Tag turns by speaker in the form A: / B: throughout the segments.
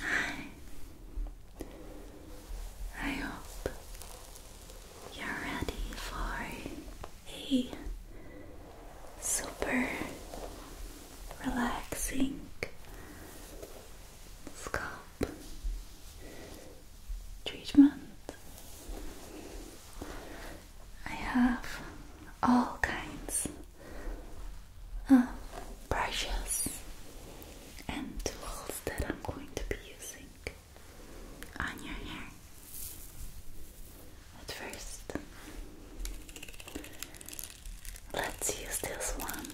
A: Hi. I hope you're ready for a super relaxing scalp treatment. I have all kinds uh, brushes and tools that I'm going to be using on your hair. At first, let's use this one.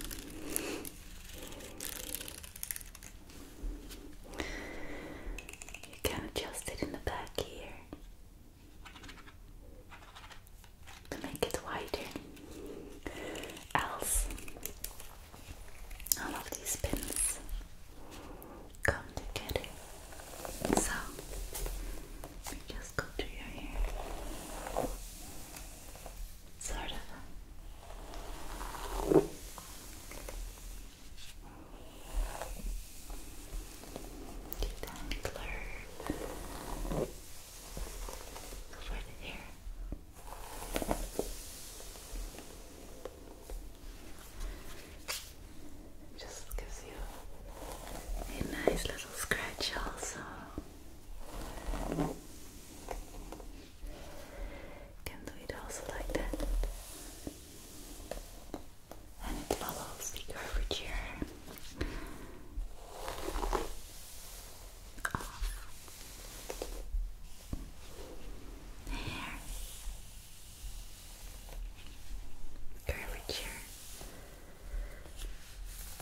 A: You can adjust it in the back here to make it wider. Else, all of these pins come together. So, we just go to your hair. Sort of. Detangler the hair. Just gives you a nice little scratch, also. Can do it also like that and it follows the curvature of the hair. Curvature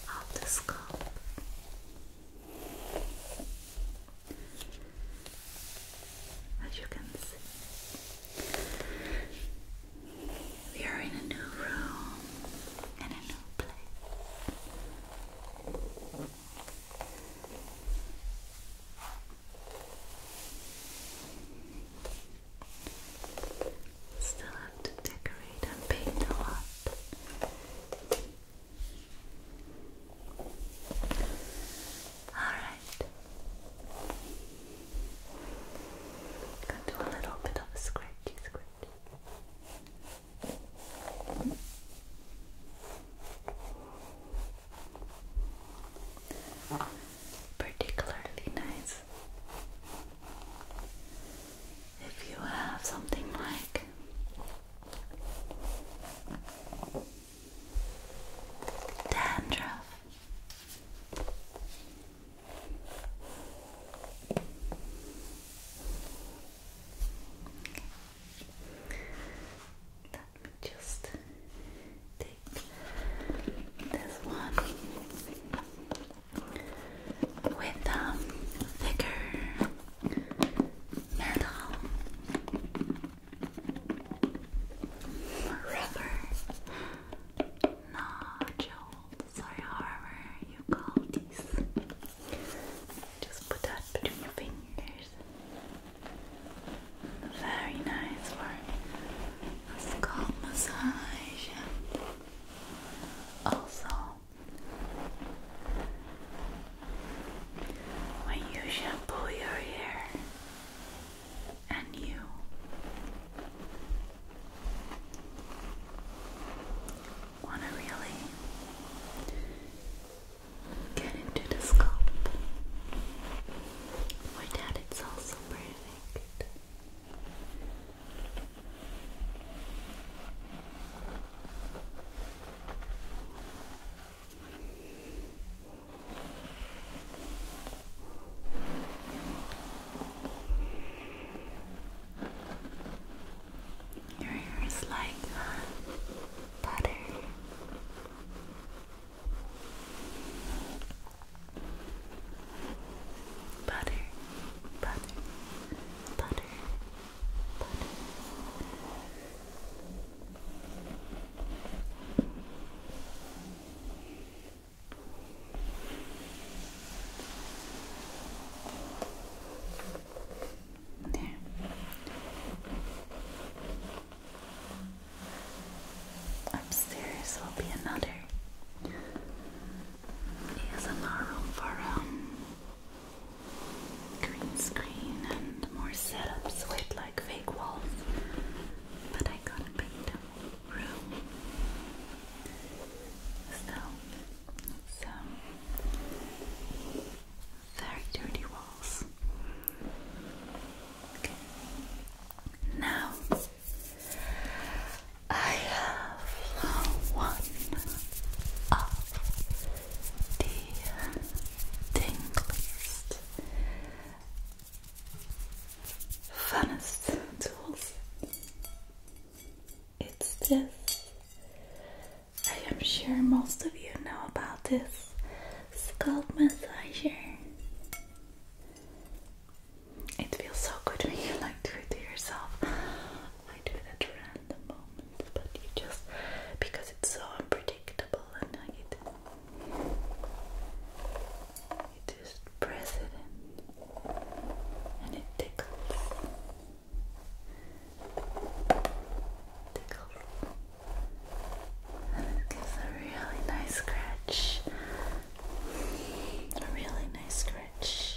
A: of the scalp. As you can see, we are in a new room and a new place. Still have to decorate and paint a lot. All right. Gonna do a little bit of a scratchy scratch. Particularly nice if you have something like dandruff let me just take this one with um, thicker metal rubber nodules sorry, however you call these. Just put that between your fingers. Very nice for scalp massage. Also, when you shampoo your hair, and you. Want to really get into the scalp. For that, it's also perfect. Your hair is like butter. Butter, butter, butter, butter. There. Upstairs will be another ASMR room for um, green screen and more setups with like fake walls, but I gotta paint them room. So it's very dirty walls. Now I have one of the thing funnest tools. It's this. I am sure most of you know about this scalp massager. It feels so good when you like do it to yourself. I do it random moments, but you just because it's so unpredictable and it just press it in and it tickles. Tickles. And it gives a really nice scratch. A really nice scratch.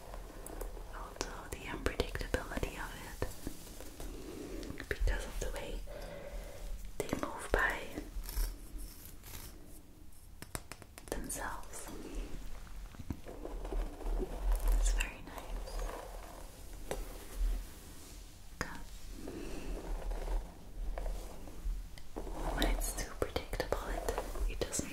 A: also the unpredictability of it because of the way they move by themselves. It's very nice. When it's too predictable, it doesn't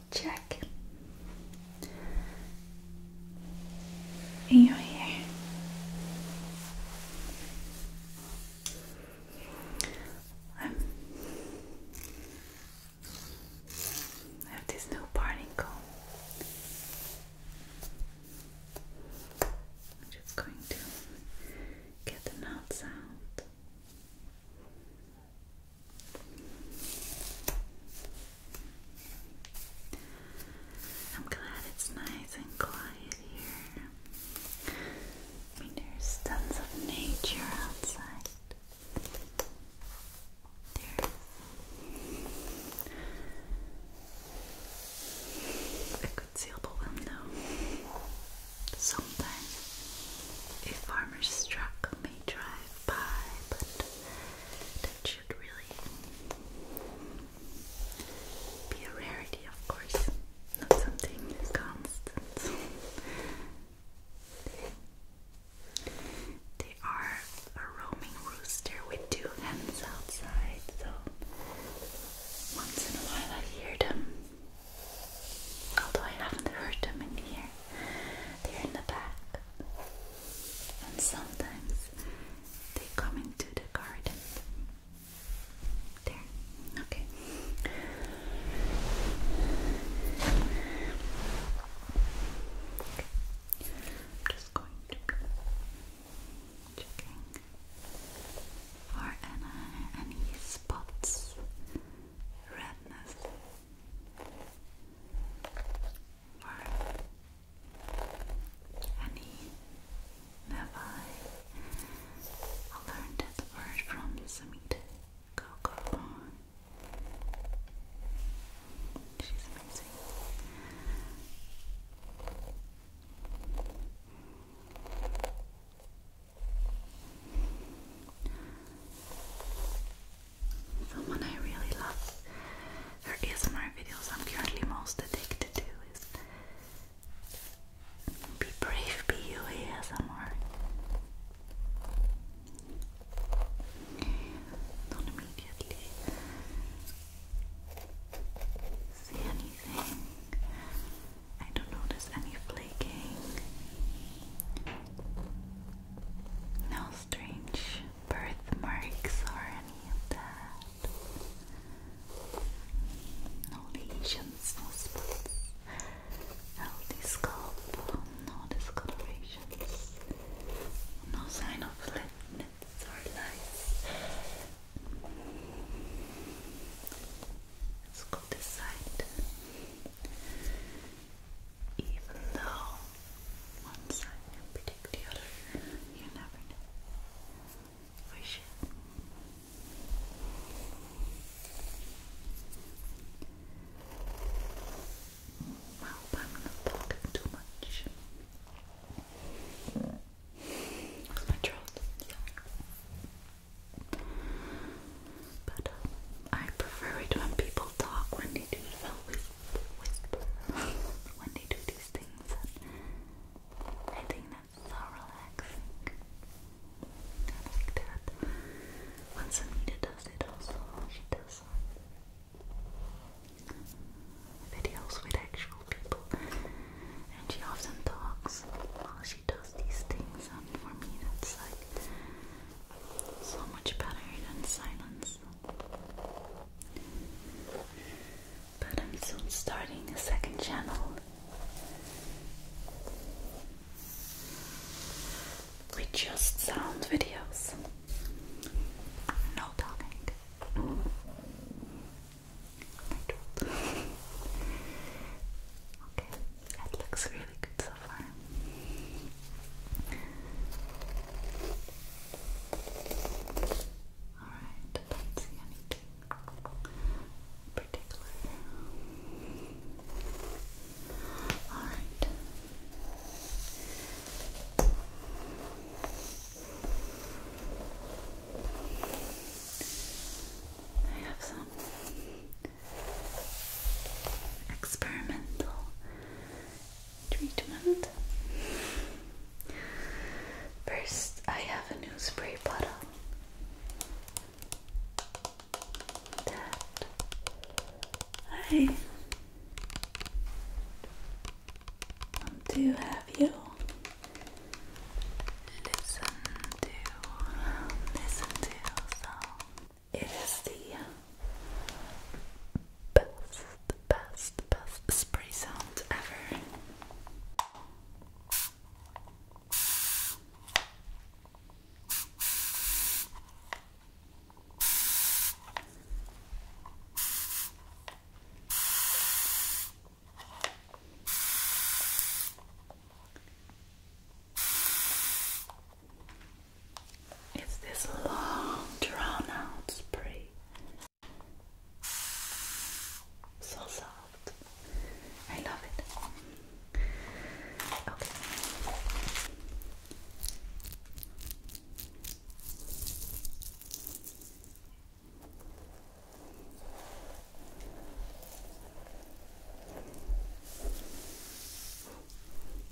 A: check in your hair. i have this new parting comb. I'm just going to get the knots out. I'm glad it's nice and quiet here. I mean, there's tons of nature outside. There's a concealable window. Sometimes a farmer's truck may drive by, but that should really be a rarity, of course, not something constant. They are a roaming rooster with two hens outside, so once in a while I hear them. Although I haven't heard them in here they're in the back, and sometimes they come into the garden. There, okay. I'm just going to be checking for any spots redness or any nevi. I learned that word from Samita Coco. She's amazing. The one I really love There is her ASMR videos I'm currently most addicted to is Be Brave, Be You ASMR. Don't immediately see anything. I don't notice any flaking. No strange birthmarks or any of that. No lesions, no spots. Healthy scalp, no discolorations. No sign of flatness or lice. Let's go this side even though one side can predict the other, you never know. We should. I hope I'm not talking too much. my throat but um, I prefer it when people talk, when they do well, whisper, whisper, when they do these things. I think that's relaxing. I like that. Once Anita does it also, she does uh, videos with actual people. And she often talks while she does these things and for me that's like so much better than silence. But I'm soon starting a second channel with just sound videos. No talking. okay. It looks really good so far. Alright, don't see anything particular. Alright. I have some experimental treatment. First, I have a new spray bottle that I want to have you listen to, listen to, so it is the best, best, best spray sound ever. It's this long, drawn out spray. So soft. I love it. Okay.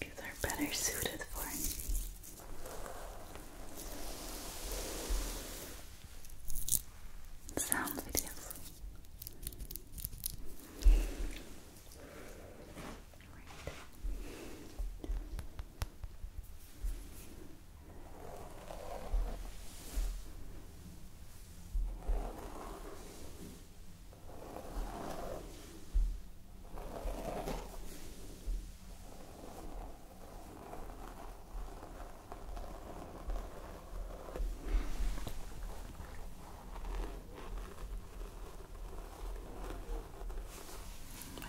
A: they are better suited for me. Sound videos. Right.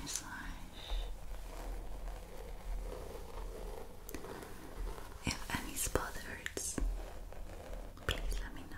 A: Massage. If any spot or words? Please let me know.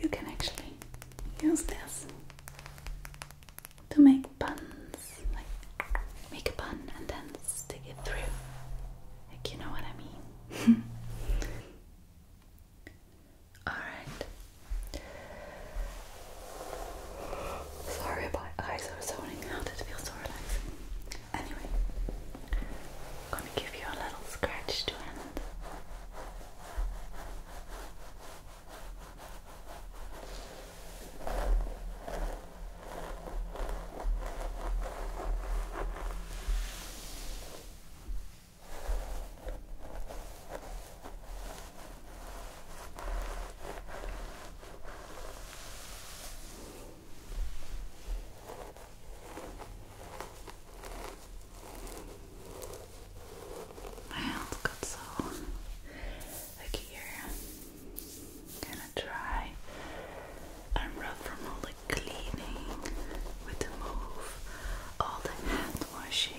A: You can actually use this to make buns, like make a bun and then stick it through. Like, you know what I mean? Alright, Sorry, my eyes are zoning out. It feels so relaxing. Anyway, gonna give you a little scratch to end. My hands got so like here, kind of dry and rough from all the cleaning with the move, all the hand washing.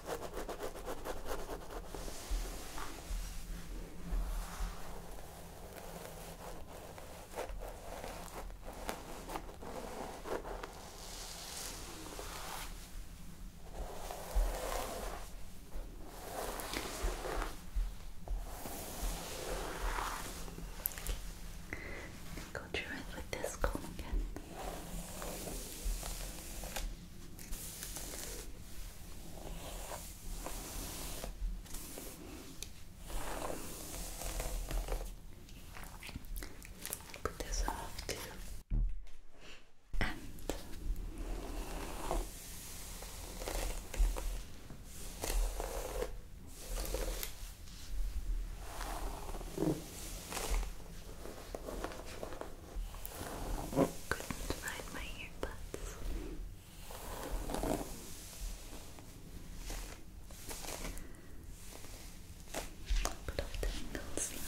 A: Go through it with this comb again. Put this off too. And couldn't find my earbuds. But I'll take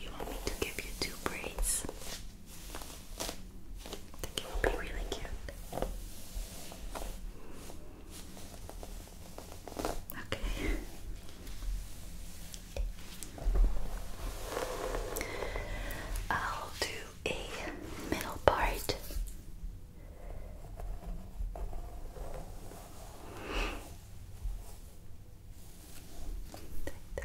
A: you want me to give you two braids? I think it would be really cute. Okay. I'll do a middle part. Like that.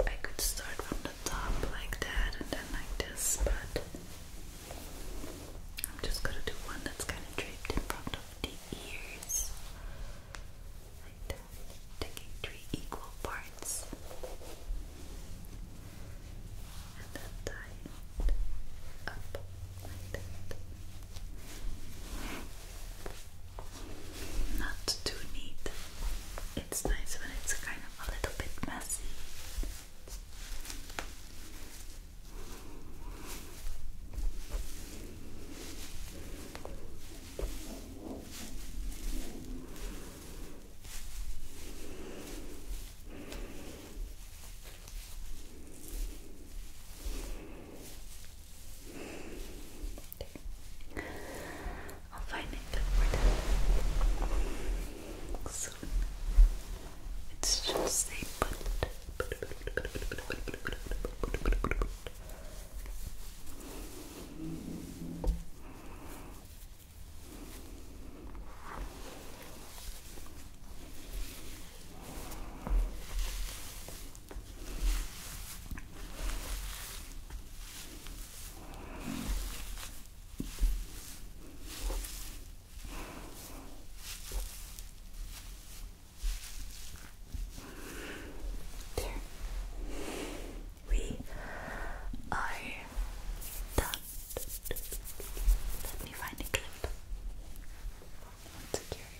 A: I could start from the top like that and then like this, but I'm just gonna do one that's kind of draped in front of the ears. Like Taking three equal parts. And then tie it up like that not too neat. It's nice when it's kind of a little bit messy. I'll find it for soon. It's just they put there. We are done. Let me find a clip. Secure it.